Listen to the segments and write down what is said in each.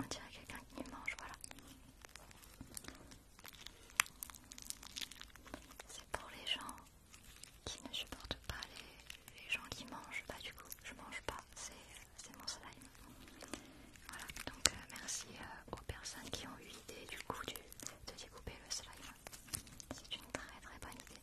On dirait quelqu'un qui mange, voilà. C'est pour les gens qui ne supportent pas les, gens qui mangent. Bah du coup, je mange pas, c'est mon slime. Voilà, donc euh, merci euh, aux personnes qui ont eu l'idée du coup de découper le slime. C'est une très très bonne idée.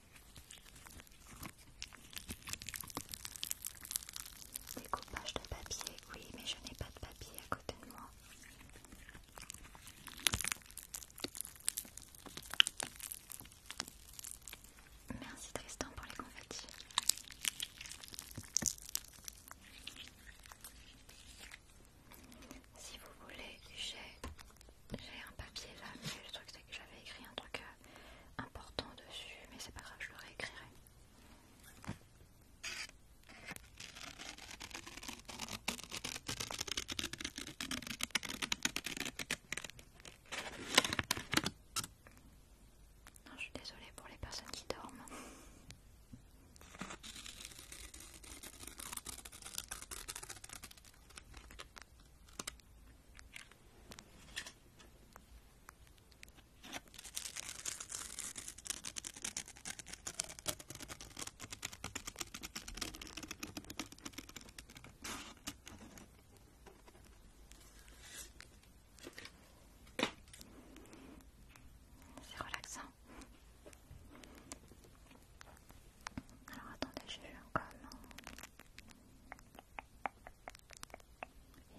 Découpage de papier, oui, mais je n'ai pas de papier à côté de moi. Merci Tristan pour les confettis. Si vous voulez, j'ai j'ai un papier là, mais le truc c'est que j'avais écrit un truc euh, important dessus, mais c'est pas grave, je le réécrirai. je suis désolée pour les personnes qui dorment. C'est relaxant. Alors attendez, j'ai eu un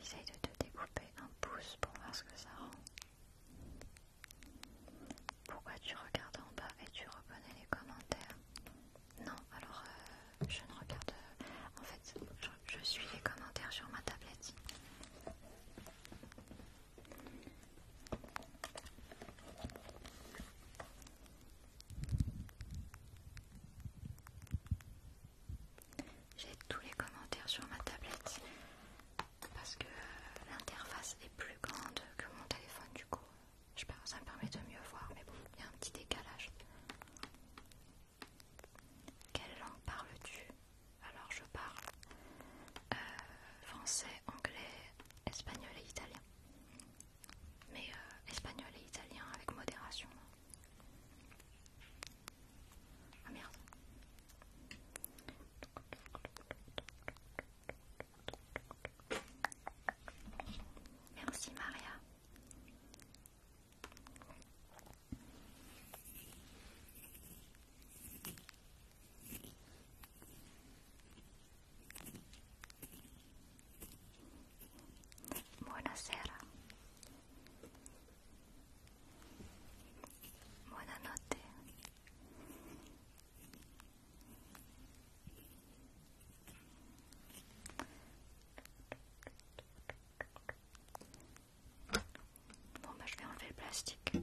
Essaye de te découper un pouce pour voir ce que ça rend. Pourquoi tu regardes en bas et tu reconnais les commentaires Non, alors euh, je ne regarde. Euh, en fait, je suis les commentaires sur ma tablette. J'ai tous les commentaires sur ma tablette parce que l'interface est plus grande que mon téléphone du coup. Je ça me permet de mieux voir, mais bon, il y a un petit décalage. Quelle langue parles-tu Alors je parle euh, français, anglais, espagnol et italien mais euh, espagnol et italien avec modération. Ah, merde. Merci Maria. Buenas noches. Bon, bah, voy a enlever el plastique.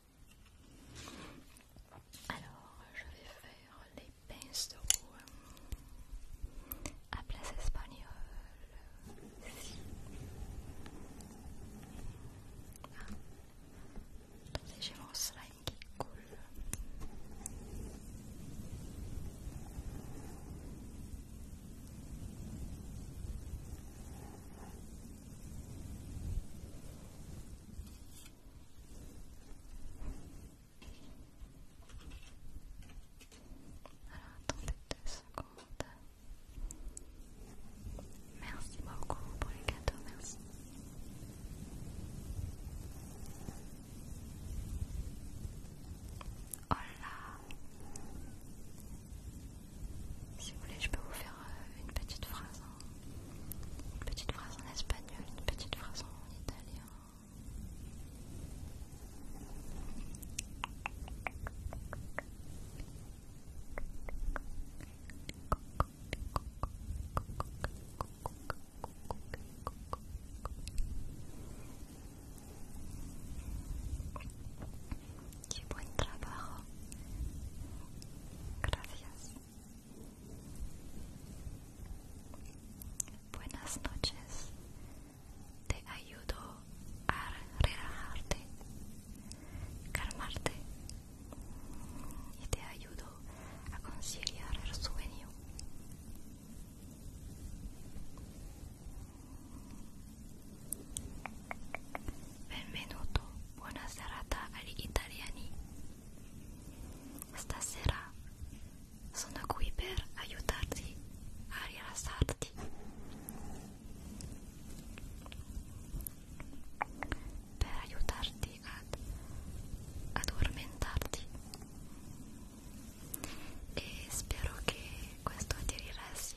Alors, je vais faire les pinces euh, à place espagnole. Ici. Ah. J'ai mon slime qui coule. Alors attendez deux secondes. Merci beaucoup pour les cadeaux, merci. Oh là Si vous voulez, je peux vous faire euh, une petite phrase. Hein. Une petite phrase en espagnol, une petite phrase en italien. buen trabajo. Gracias. Buenas noches. Te ayudo a relajarte, calmarte y te ayudo a conciliar el sueño. Benvenuto, buenas serata al italiani. Stasera sono qui per aiutarti a rilassarti. Per aiutarti ad addormentarti. E spero che questo ti rilassi.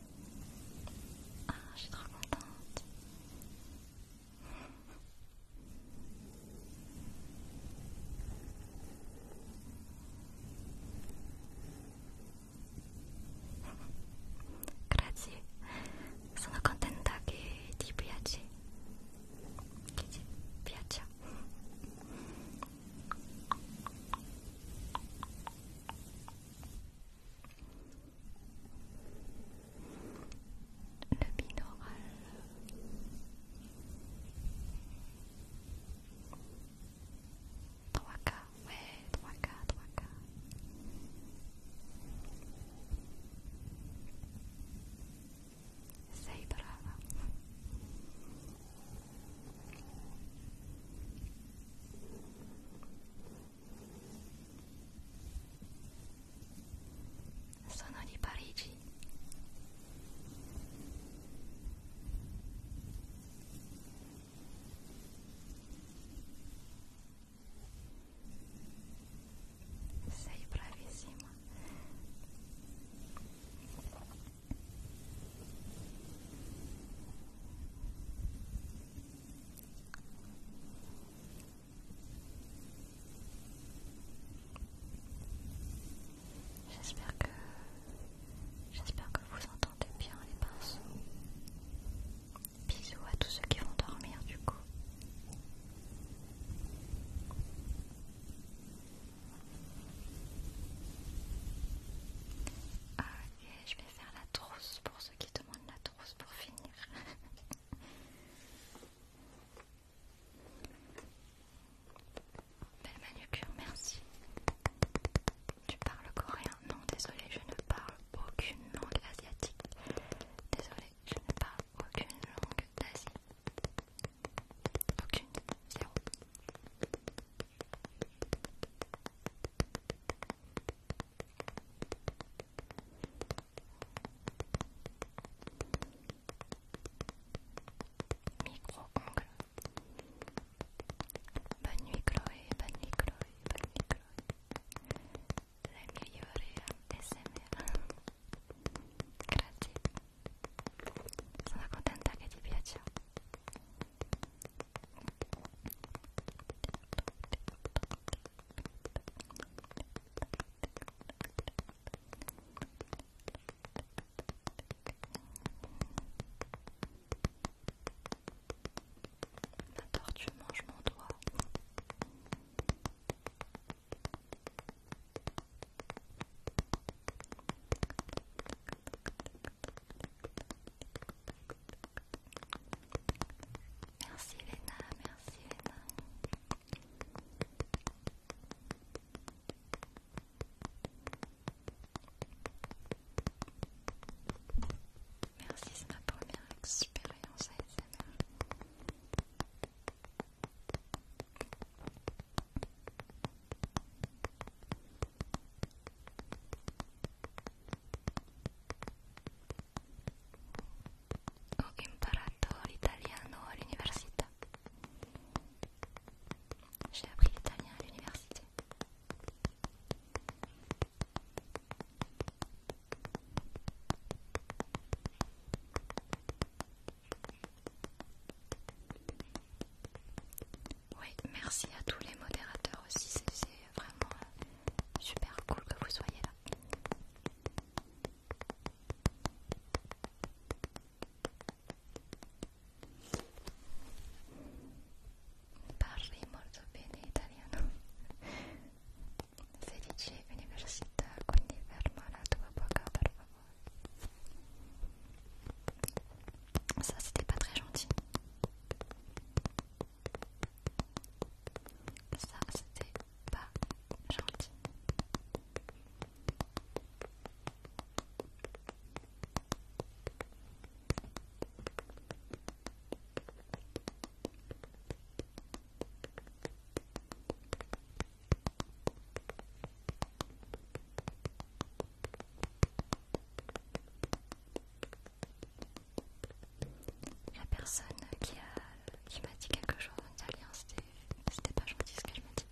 Ah, je suis trop contente. Grazie, sono contenta che ti piace. Che ti piaccia. le binaural. Trois cas, ouais, Sei brava. sono di Parigi sei bravissima J'espère que que vous entendez bien les pinceaux. Bisous à tous ceux qui vont dormir du coup. Ah, je vais faire la trousse pour ceux qui demandent la trousse pour finir. Belle manucure, merci. Tu parles coréen Non, désolé, je ne parle aucune langue asiatique. Désolé, je ne parle aucune langue d'Asie. Aucune, zéro. Micro-ongle. Bonne nuit Chloé, bonne nuit Chloé, bonne nuit Chloé. La migliore ASMR. Grazie. Sono contenta che ti piaccia. que tu manges mon doigt. Merci Léna, merci Léna. Merci, c'est ma première expérience à à J'ai appris l'italien à l'université. Oui, merci à tous les modérateurs aussi, c'est vraiment super cool que vous soyez là. Parli molto bene italiano. Felice università, quindi ferma la tua bocca per favore. Ça, c'était pas très gentil. Ça, c'était pas gentil. La personne qui m'a dit quelque chose en italien, c'était pas gentil ce qu'elle m'a dit.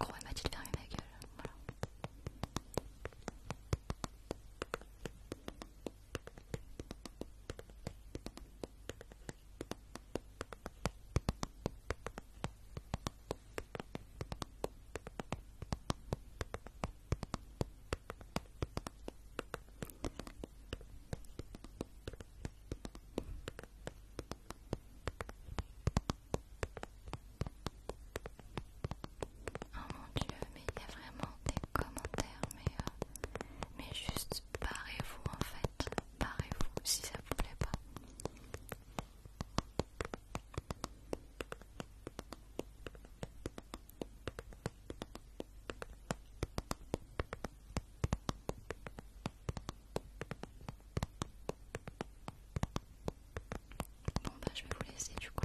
En gros, elle m'a dit de fermer ma gueule. Voilà. Oh mon dieu, mais il y a vraiment des commentaires, mais, euh, mais juste barrez-vous en fait, barrez-vous si ça vous plaît pas. Bon bah je vais vous laisser du coup.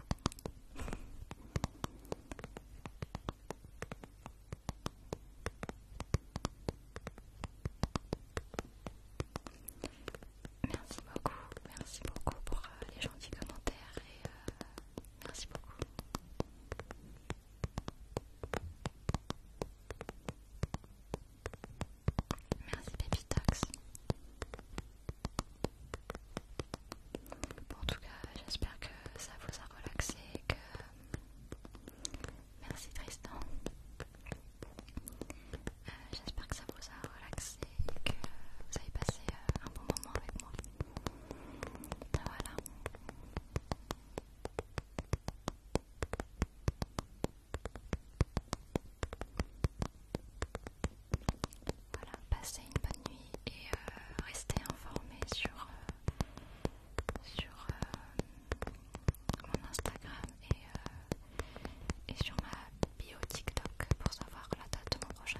Merci beaucoup, merci beaucoup pour euh, les gentils commentaires et euh, merci beaucoup. Merci Baby en tout cas, j'espère que ça vous a relaxé et que... Euh, merci Tristan j'espère que ça vous a relaxé et que vous avez passé euh, un bon moment avec moi. Ben voilà. Voilà, passez une bonne nuit et euh, restez informés sur, euh, mon Instagram et, et sur ma bio TikTok pour savoir la date de mon prochain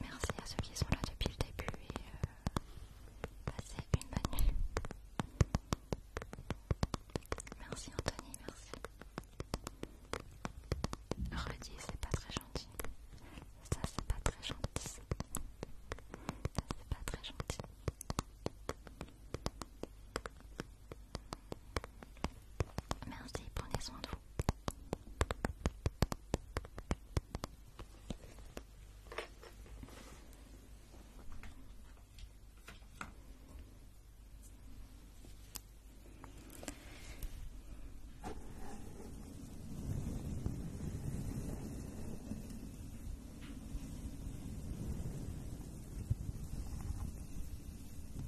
Merci à ceux qui sont là depuis le début et euh, passez une bonne nuit. Merci Anthony, merci. Redis, c'est pas très gentil. Ça, c'est pas très gentil. Ça, c'est pas très gentil. Merci, prenez soin de vous.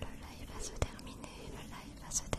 Le live va se terminer, le live va se terminer.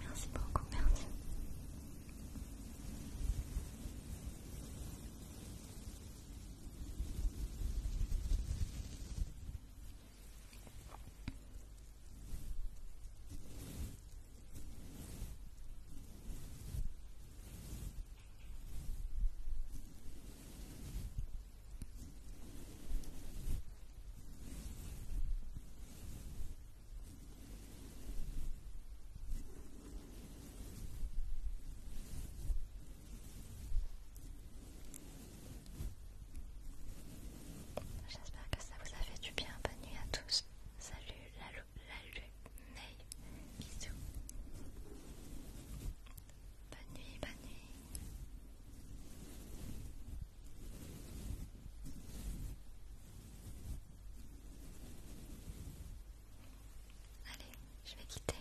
Merci beaucoup, merci. J'espère que ça vous a fait du bien. Bonne nuit à tous. Salut la, la lune. Bisous. Bonne nuit, bonne nuit. Allez, je vais quitter.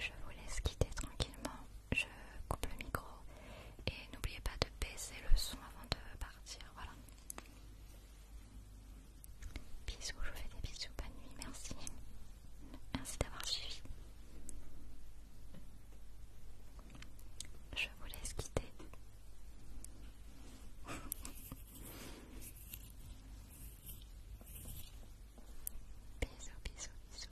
Je vous laisse quitter tranquillement je coupe le micro et n'oubliez pas de baisser le son avant de partir. Voilà. Bisous, je vous fais des bisous, bonne nuit, merci. Merci d'avoir suivi. Je vous laisse quitter. bisous, bisous, bisous.